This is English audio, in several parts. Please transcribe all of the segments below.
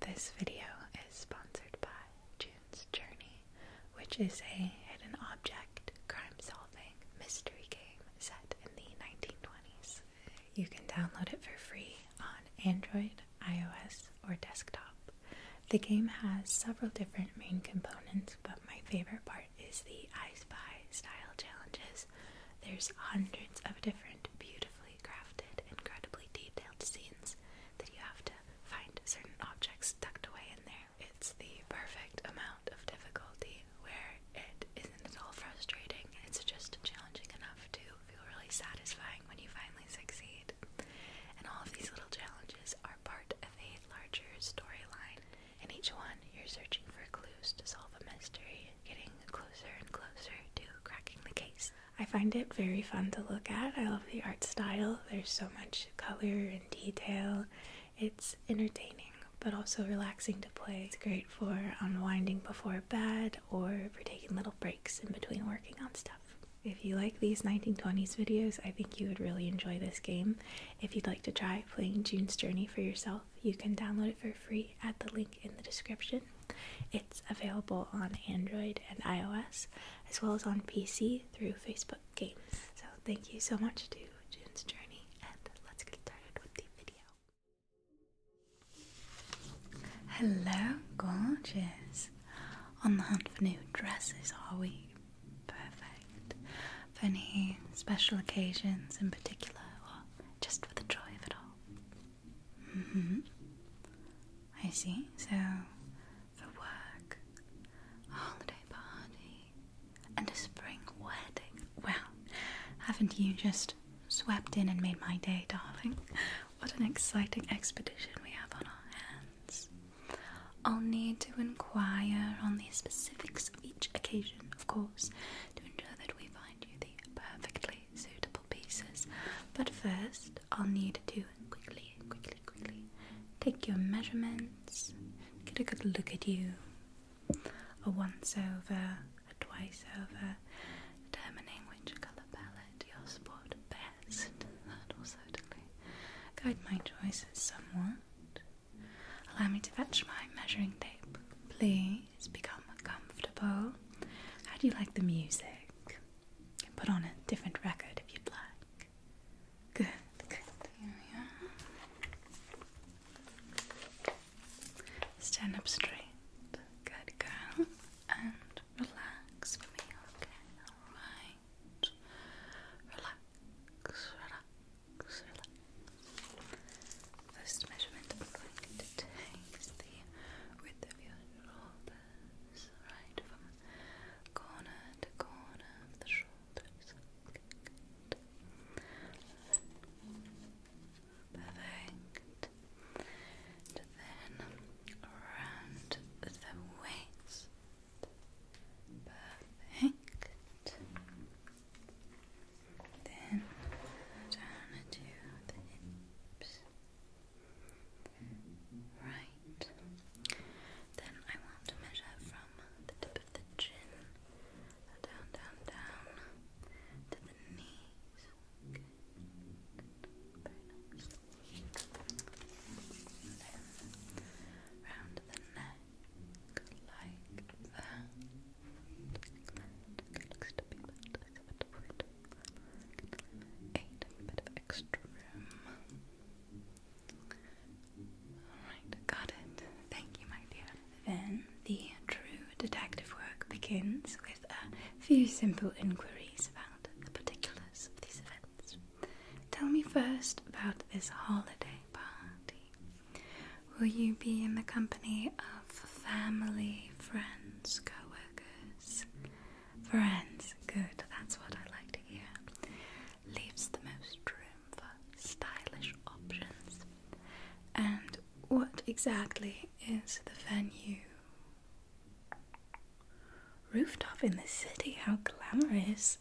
This video is sponsored by June's Journey, which is a hidden object crime solving mystery game set in the 1920s. You can download it for free on Android, iOS, or desktop. The game has several different main components, but my favorite part is the I Spy style challenges. There's hundreds of different beautifully crafted, incredibly detailed scenes that you have to find certain objects tucked away in there. It's the perfect amount of difficulty where it isn't at all frustrating. It's just challenging enough to feel really satisfying when you finally succeed. And all of these little challenges are part of a larger storyline. In each one, you're searching for clues to solve a mystery, getting closer and closer to cracking the case. I find it very fun to look at. I love the art style. There's so much color and detail. It's entertaining but also relaxing to play. It's great for unwinding before bed or for taking little breaks in between working on stuff. If you like these 1920s videos, I think you would really enjoy this game. If you'd like to try playing June's Journey for yourself, you can download it for free at the link in the description. It's available on Android and iOS, as well as on PC through Facebook Games. So, thank you so much to June's Journey, and let's get started with the video. Hello, gorgeous! On the hunt for new dresses, are we? Perfect. For any special occasions in particular, or just for the joy of it all? Mm hmm. I see. So, for work, holiday party, and a spring wedding. Well, haven't you just swept in and made my day, darling? What an exciting expedition we have on our hands. I'll need to inquire on the specifics of each occasion, of course, to ensure that we find you the perfectly suitable pieces. But first, I'll need to quickly, quickly, quickly take your measurements, get a good look at you, a once over, a twice over, determining which colour palette you'll spot best. That will certainly guide my choices somewhat. Allow me to fetch my measuring tape, please. It's become comfortable. How do you like the music? You can put on a different record if you'd like. Good, Stand up straight. Good girl. And relax for me, okay? Alright. Relax, relax, relax. First measurement I'm going to take the width of your shoulders, right from corner to corner of the shoulders. Perfect. And then around the waist. Perfect. Then down into the hips. Right. Then I want to measure from the tip of the chin down, down, down to the knees. Okay. the neck like that eight, a bit of extra room. Alright, got it. Thank you, my dear. Then the true detective work begins with a few simple inquiries about the particulars of these events. Tell me first about this holiday party. Will you be in the company of family, friends? co workers, friends, good, that's what I like to hear. Leaves the most room for stylish options. And what exactly is the venue? Rooftop in the city, how glamorous!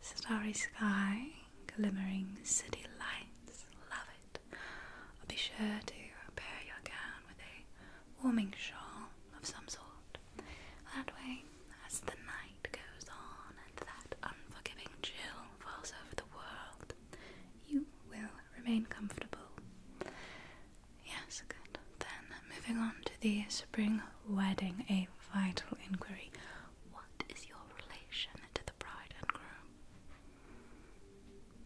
Starry sky, glimmering city lights, love it. I'll be sure to pair your gown with a warming shawl of some sort. That way, as the night goes on and that unforgiving chill falls over the world, you will remain comfortable. Yes, good. Then, moving on to the spring wedding, a vital inquiry. What is your relation to the bride and groom?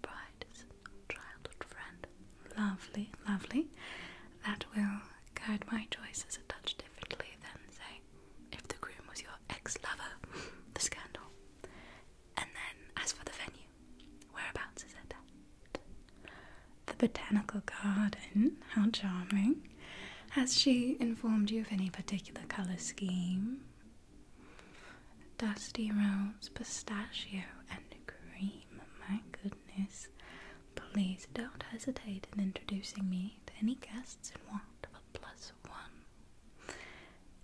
brightest childhood friend. Lovely, lovely. That will guide my choices a touch differently than, say, if the groom was your ex lover, the scandal. And then, as for the venue, whereabouts is it at? The Botanical Garden, how charming. Has she informed you of any particular colour scheme? Dusty Rose Pistachio and Cream. My goodness. Please don't hesitate in introducing me to any guests in want of a plus one.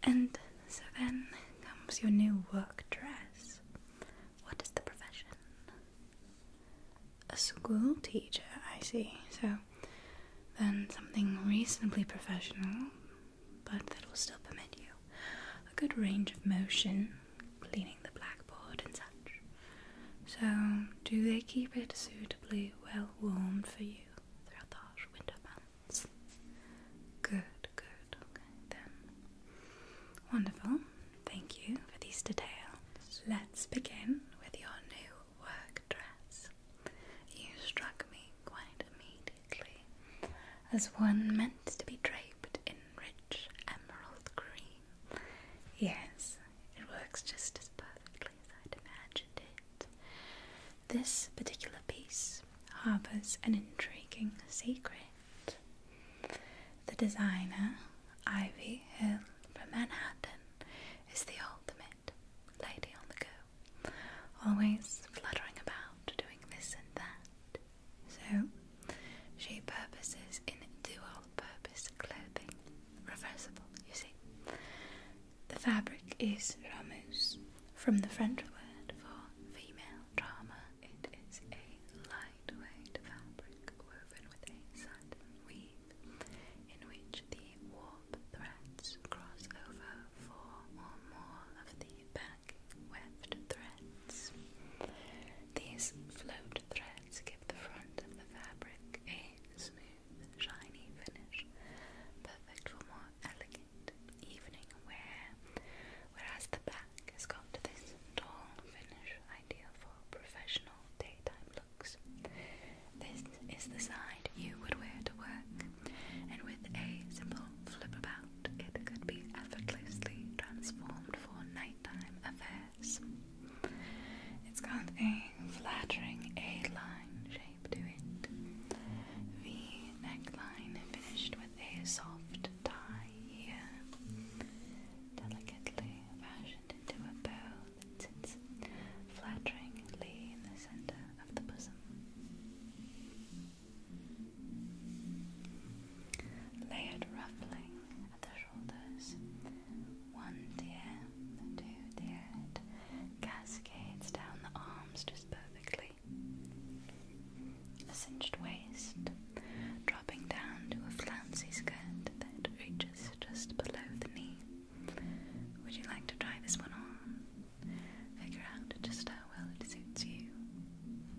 And so then comes your new work dress. What is the profession? A school teacher, I see. So then something reasonably professional but that will still permit you a good range of motion, cleaning the blackboard and such. So, do they keep it suitably well warmed for you through the harsh winter months? Good, good, okay then. Wonderful, thank you for these details. Let's begin with your new work dress. You struck me quite immediately as one meant to be draped in rich emerald green. Yes, it works just as perfectly as I'd imagined it. This particular piece harbours an intriguing secret. The designer, Ivy Hill from Manhattan, is the ultimate lady on the go, always fluttering about, doing this and that. So, she purposes in dual purpose clothing, reversible, you see. The fabric is ramus, from the French word for female drama. It is a lightweight fabric woven with a satin weave in which the warp threads cross over four or more of the back weft threads. These float threads give the front of the fabric a smooth, shiny finish, perfect for more elegant evening wear, whereas the back has got this tall finish ideal for professional daytime looks. This is the side you would wear to work and with a simple flip about, it could be effortlessly transformed for nighttime affairs. It's got a flattering A-line shape to it. The neckline finished with a soft tie here, delicately fashioned into a bow that sits flatteringly in the center of the bosom. Layered ruffling at the shoulders. One tier, two tiered, cascades down the arms just perfectly. A cinched waist, dropping down to a flouncy skirt that reaches just below the knee. Would you like to try this one on? Figure out just how well it suits you.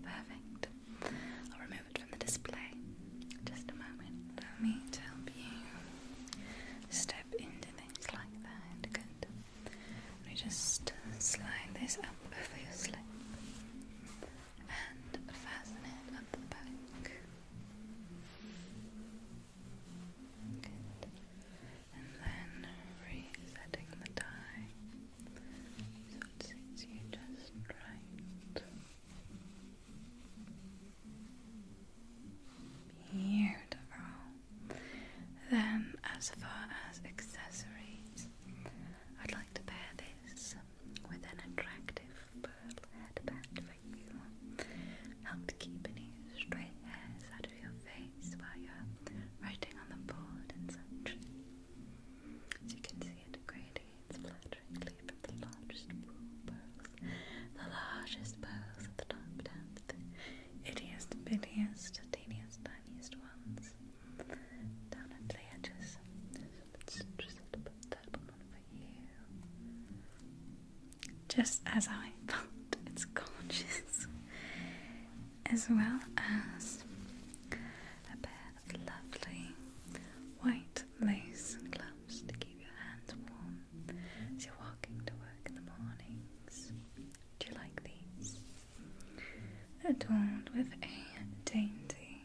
Perfect. I'll remove it from the display. Just a moment. Allow me to help you step into things like that. Good. Let just uh, slide this up over your slip and fasten it up the back. And then resetting the tie so it sits you just right. Beautiful. Then, as far as accessories, I'd like to pair this with an attractive pearl headband for you. Help keep any stray hairs out of your face while you're writing on the board and such. As you can see, it gradients flutteringly from the largest pearls, the largest pearls at the top down to the ittiest, bittiest, teeniest, tiniest ones down at the edges. It's just a bit that one for you just as I thought, its gorgeous, as well as a pair of lovely white lace gloves to keep your hands warm as you're walking to work in the mornings. Do you like these? Adorned with a dainty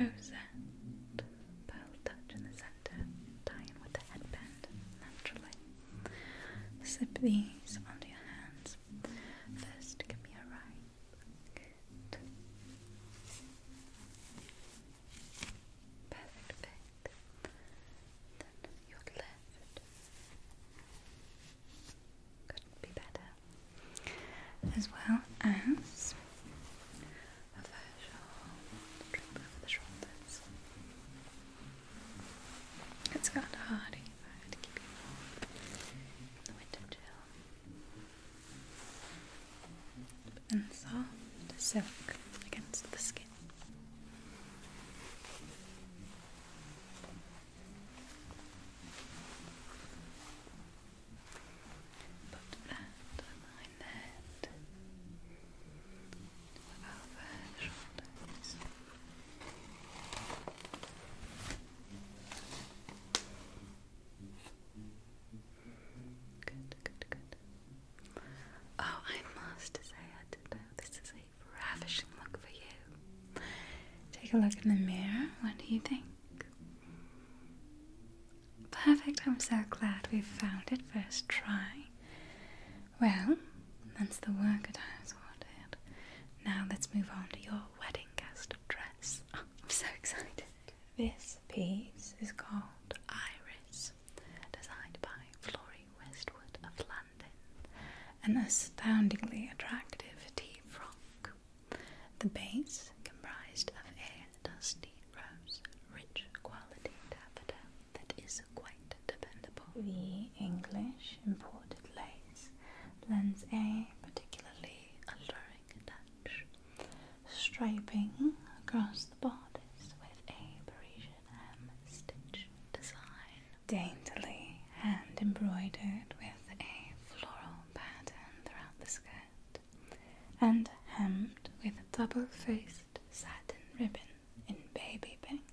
rosette pearl touch in the centre tie in with the headband naturally. Slip these onto your hands. First, give me a right. Perfect, perfect. Then your left. could be better. As well as a facial drip over the shoulders. It's kind of hard if I the winter chill. But soft silk against the skin. Put that on my head. Oh, I must say, I did know this is a ravishing look for you. Take a look in the mirror. What do you think? Perfect. I'm so glad we found it first try. Well, that's the work at house wanted. Now let's move on to your wedding guest dress. I'm so excited. This piece is called Iris, designed by Florrie Westwood of London. An astoundingly attractive tea frock. The base comprised of a dusty rose, rich quality daffodil, that is quite dependable. The English imported lace lends a particularly alluring touch, striping across the bodice with a Parisian hem stitch design, daintily hand embroidered with a floral pattern throughout the skirt, and hemmed with double face satin ribbon in baby pink.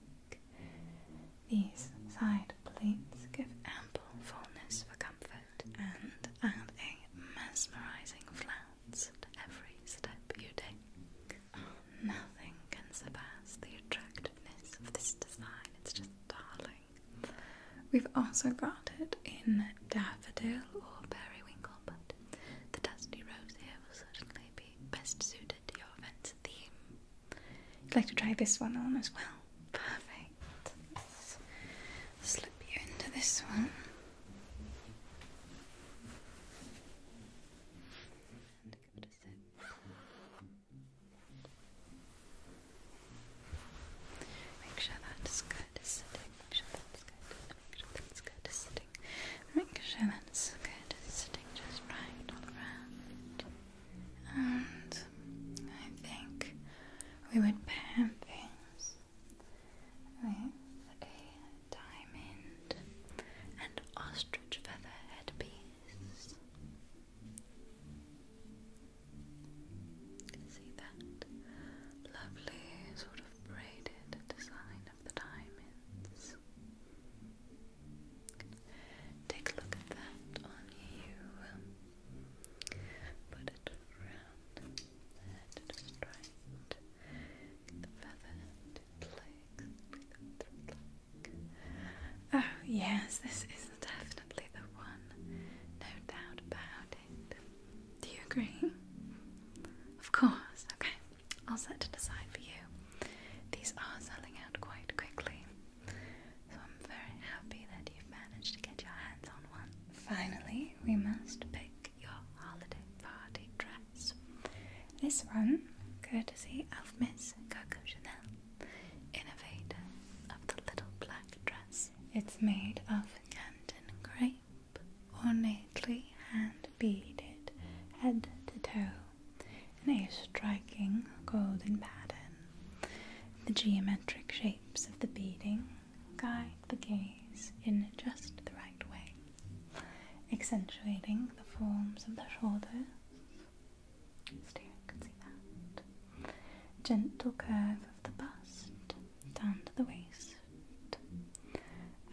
These side pleats give ample fullness for comfort and add a mesmerizing flounce to every step you take. Oh, nothing can surpass the attractiveness of this design, it's just darling. We've also got it in daffodil or periwinkle, but the dusty rose here will certainly be best suited to your event's theme. You'd like to try this one on as well? Perfect. slip you into this one. Make sure that skirt make sure that's good, make sure that's good, sitting, make sure that's good, sitting just right all around. And I think we would pair things with a diamond and ostrich feather headpiece. see that lovely sort of braided design Take a look at that on you. Put it around there to just the feather to place. Breathe out Oh yes, this is definitely the one. No doubt about it. Do you agree? Of course, okay. I'll set it aside for you. These are selling out quite quickly, so I'm very happy that you've managed to get your hands on one. Finally, we must pick your holiday party dress. This one, courtesy of Miss Coco Chanel, innovator of the little black dress. It's made of and grey ornately hand beaded head to toe in a striking golden pattern. The geometric shapes of the beading guide the gaze in just the right way, accentuating the forms of the shoulders. Gentle curve of the bust down to the waist,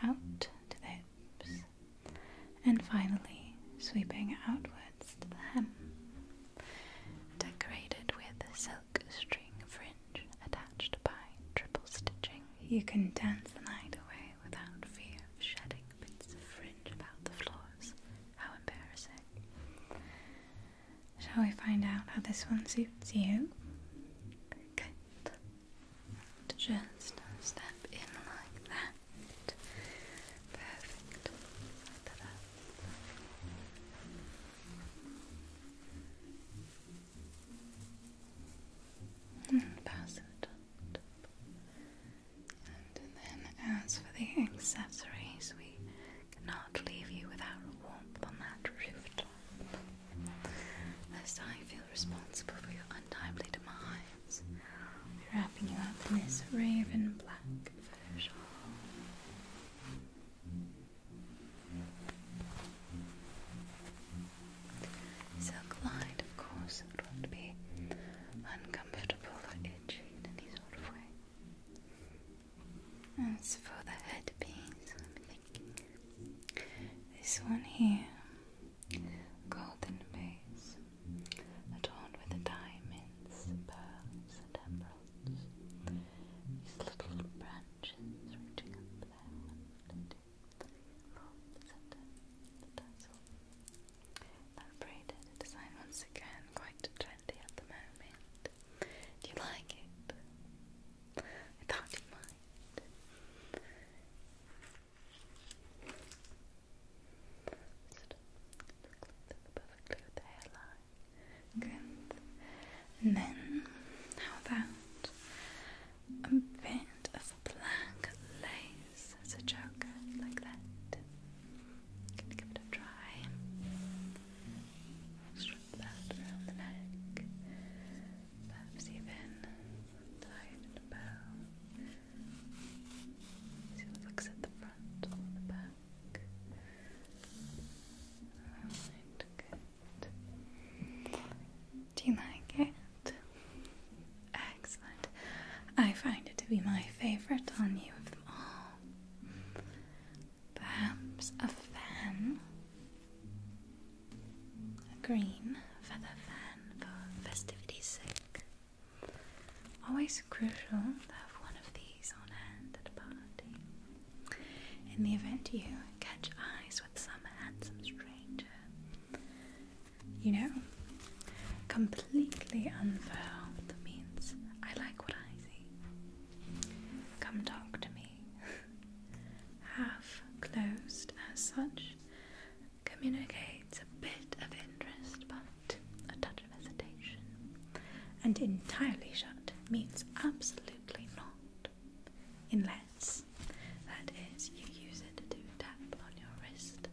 out to the hips, and finally sweeping outwards to the hem, decorated with a silk string fringe attached by triple stitching. You can dance the night away without fear of shedding bits of fringe about the floors. How embarrassing! Shall we find out how this one suits you? Good just step in like that. Perfect. Hmm, pass it on And then, as for the accessories, we cannot leave you without warmth on that rooftop. Lest I feel responsible for your untimely demise, wrapping you up in this raven black fur shawl. Silk lined, of course, it won't be uncomfortable or itchy in any sort of way. As for the headpiece, this one here, golden vase, adorned with diamonds, pearls, and emeralds. These little branches reaching up there and roots and the That braided design once again, quite trendy at the moment. Do you like it? I thought you might perfectly with the hairline. Good. And then, how about a bit of black lace as a joker, like that? Gonna give it a try that around the neck, perhaps even tied in a bow. looks at the front the back. Alright, good. Do you like it? Excellent. I find it to be my favorite on you of them all. Perhaps a fan. A green feather fan for festivities. sake. Always crucial to have one of these on hand at a party. In the event you catch eyes with some handsome stranger, you know, completely unfurled means I like what I see. Come talk to me half closed as such communicates a bit of interest but a touch of hesitation, and entirely shut means absolutely not, unless that is you use it to tap on your wrist.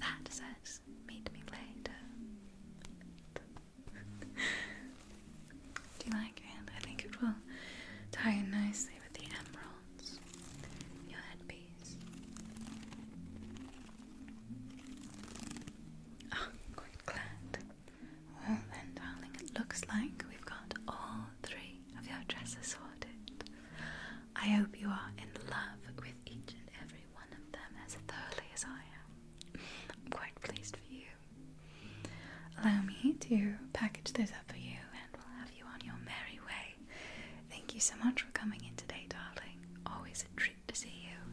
That says, Meet me later. Do you like it? I think it will tie nicely with the emeralds. Your headpiece. Oh, quite glad. Well then, darling, it looks like we've got all three of your dresses sorted. I hope you are in love with each and every one of them as thoroughly as I am. I'm quite pleased for you. Allow me to package those up for you and we'll have you on your merry way. Thank you so much for coming in today, darling. Always a treat to see you.